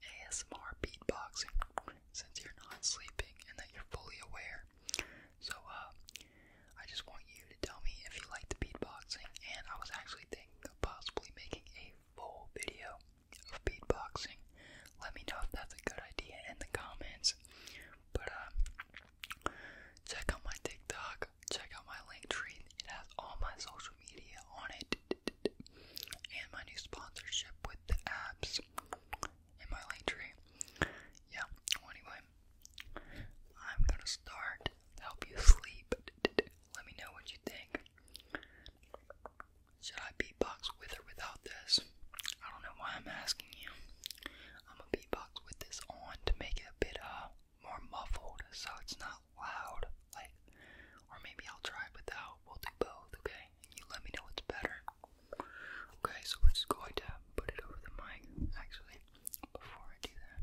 ASMR beatboxing since you're not sleeping and that you're fully aware. So, uh, I just want you to tell me if you like the beatboxing, and I was actually thinking of possibly making a full video of beatboxing. Let me know if that's a good idea in the comments. But, uh, check out my TikTok, check out my link tree, it has all my social media on it and my new sponsorship with the apps in my link tree. Yeah, anyway, I'm gonna start help you sleep. Let me know what you think. Should I beatbox with or without this? I don't know why I'm asking you. I'm gonna beatbox with this on to make it a bit uh more muffled so it's not loud, like, or maybe I'll try without. We'll do both, okay? And you let me know what's better. Okay, so we're just going to put it over the mic, actually, before I do that.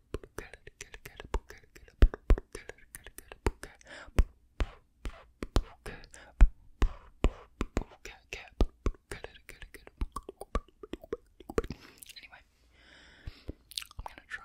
Anyway, I'm gonna try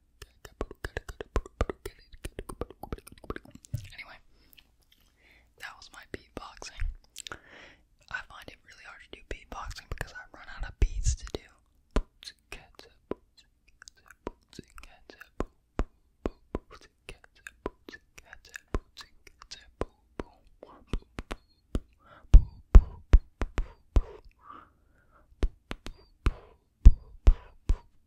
Anyway, that was my beatboxing. I find it really hard to do beatboxing because I run out of beats to do. But um,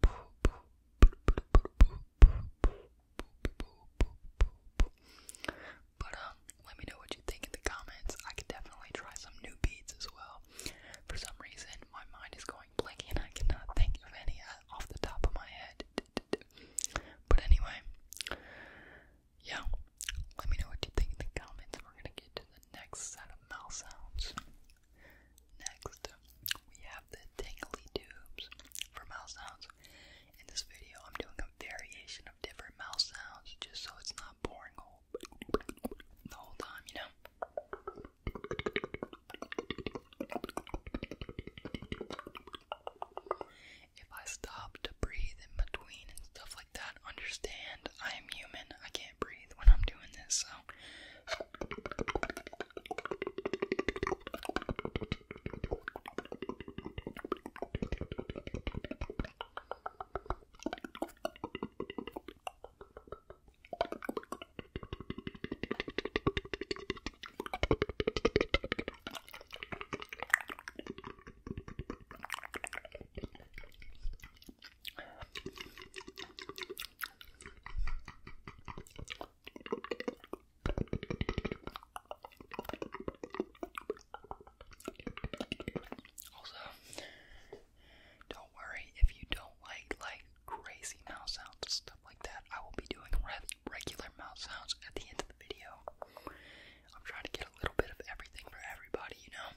let me know what you think in the comments. I could definitely try some new beats as well. For some reason, my mind is going blank and I cannot think of any uh, off the top of my head. But anyway, yeah, let me know what you think in the comments. We're gonna get the next set of mouth sounds. Next, we have the tingly tubes for mouth sounds. In this video, I'm doing a variation of different mouth sounds just so it's not boring all the whole time, you know? If I stop to breathe in between and stuff like that. Understand, I am human. I can't breathe when I'm doing this, so. Also, don't worry if you don't like like crazy mouth sounds stuff like that. I will be doing regular mouth sounds at the end of the video. I'm trying to get a little bit of everything for everybody, you know.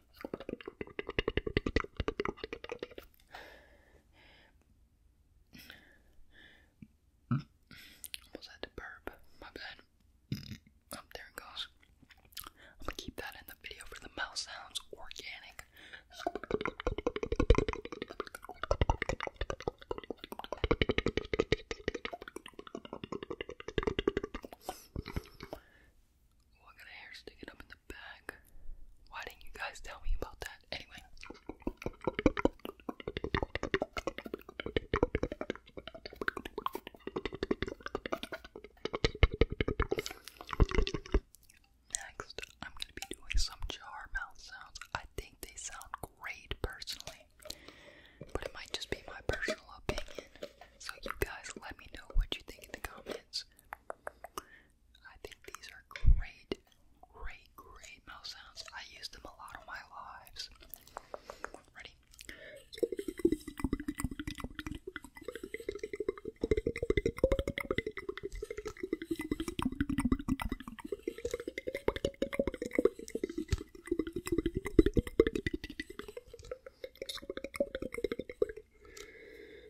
Almost had to burp. My bad. Oh, there it goes. I'm gonna keep that in the video for the mouth sounds organic. I got hair sticking up in the back. Why didn't you guys tell me about that? Anyway. Next, I'm going to be doing some jar mouth sounds. I think they sound great personally, but it might just be my personal opinion. So, you guys, let me know what you think in the comments. I think these are great, great, great mouth sounds. I use them a lot on my lives. Ready?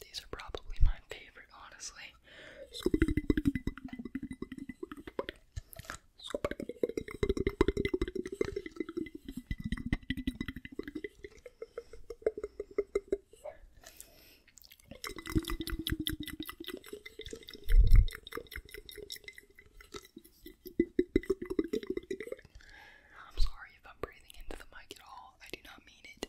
These are probably my favorite, honestly. I'm sorry if I'm breathing into the mic at all. I do not mean it.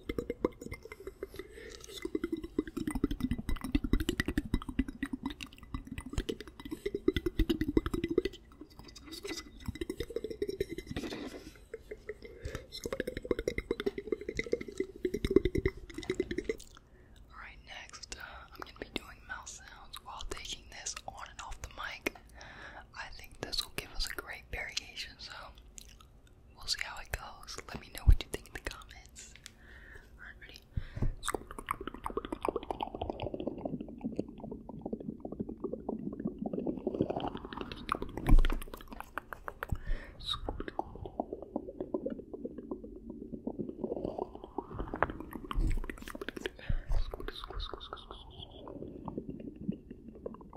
Alright, next, uh, I'm gonna be doing mouth sounds while taking this on and off the mic. I think this will give us a great variation, so We'll see how it goes. Let me know what you think in the comments. Alright, ready?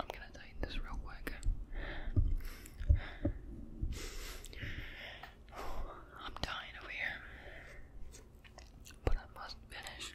I'm gonna tighten this real quick. I'm dying over here, but I must finish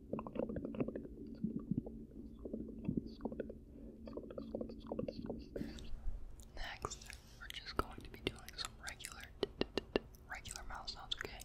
Next, we're just going to be doing some regular, regular mouth sounds, okay?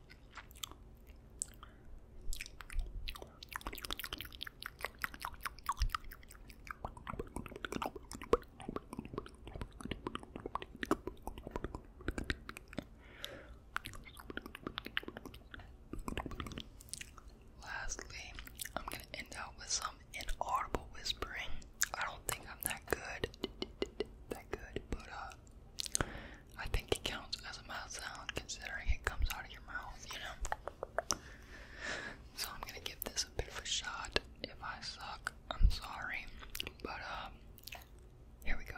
Lastly, I'm going to end out with some inaudible whispering. I don't think I'm that good, that good, but uh, I think it counts as a mouth sound considering it comes out of your mouth, you know? So I'm gonna give this a bit of a shot. If I suck, I'm sorry. But, um, here we go.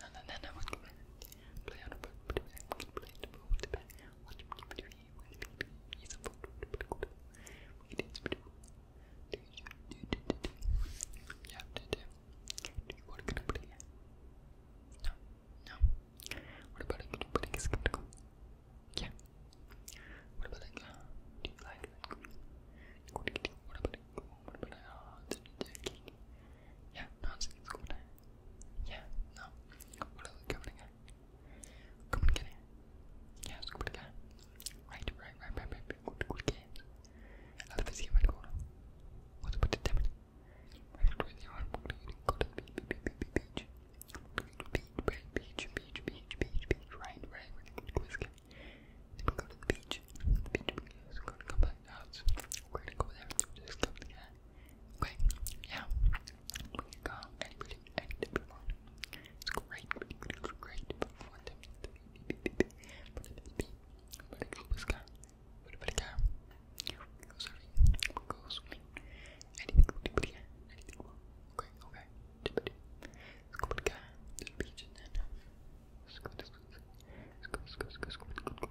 no, no, no, no. Play on a boat. Play on a boat. Watch him keep it here. He's a boat. We need to do. Do you do do do? You have to do. Do you want to get a buddy? No, no. What about a good buddy? Is skeptical? Yeah. What about like, uh, do you like like, what about like, what about like, uh, yeah, no, it's a good time. Yeah, no. What are they coming again? Come and get it. Yeah, let's go put it there. Right, right, right, right, right, right. Good, good games. Alla vi ser vad det går. Och så på det tämmen. Jag tror att jag har en bok där jag kan gå till beach. Beach, beach, beach, beach, beach, beach, right, right, right. Good, good, good. Then we go to the beach. The beach, we're going to come back out. We're going to go there. Just come to the guy. Okay, yeah. We can call anybody, anybody want. It's great, it's great, but I want them to be, be, be, but it is be, but Let's go let's go, let's go, let let's go, let's go, let's go, let's let's go, let's go, let's go, let's go, let's go, let's go, let's go, let's go,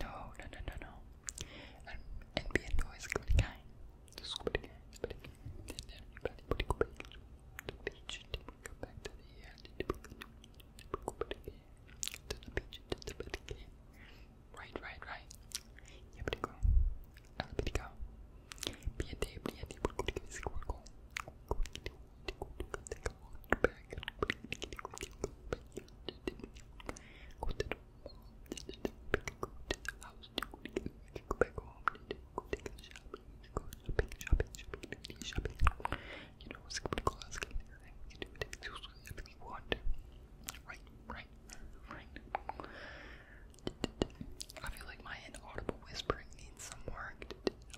No, no, no, no, no. And, and viendo es clicar. Just click click Then everybody would go back to Right, right, right. Yeah, but go. i be go. Be a be a day. We're a go. Back. Just to a shopping, go shopping, You do. It absolutely want. Right, right, right. I feel like my inaudible whispering needs some work.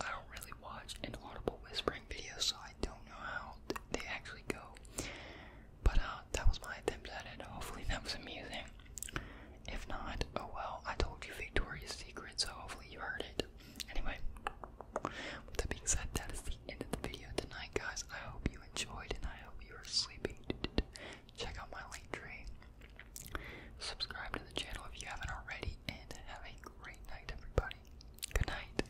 I don't really watch inaudible whispering videos, so I don't know how they actually go. But uh, that was my attempt at it. Hopefully that was amusing. If not, oh well, I told you Victoria's Secret, so hopefully you heard it. Anyway, with that being said, that is the end of the video tonight, guys. I hope you enjoyed, and I hope you are sleeping. Check out my link tree. Subscribe to the channel if you haven't already, and have a great night, everybody. Good night.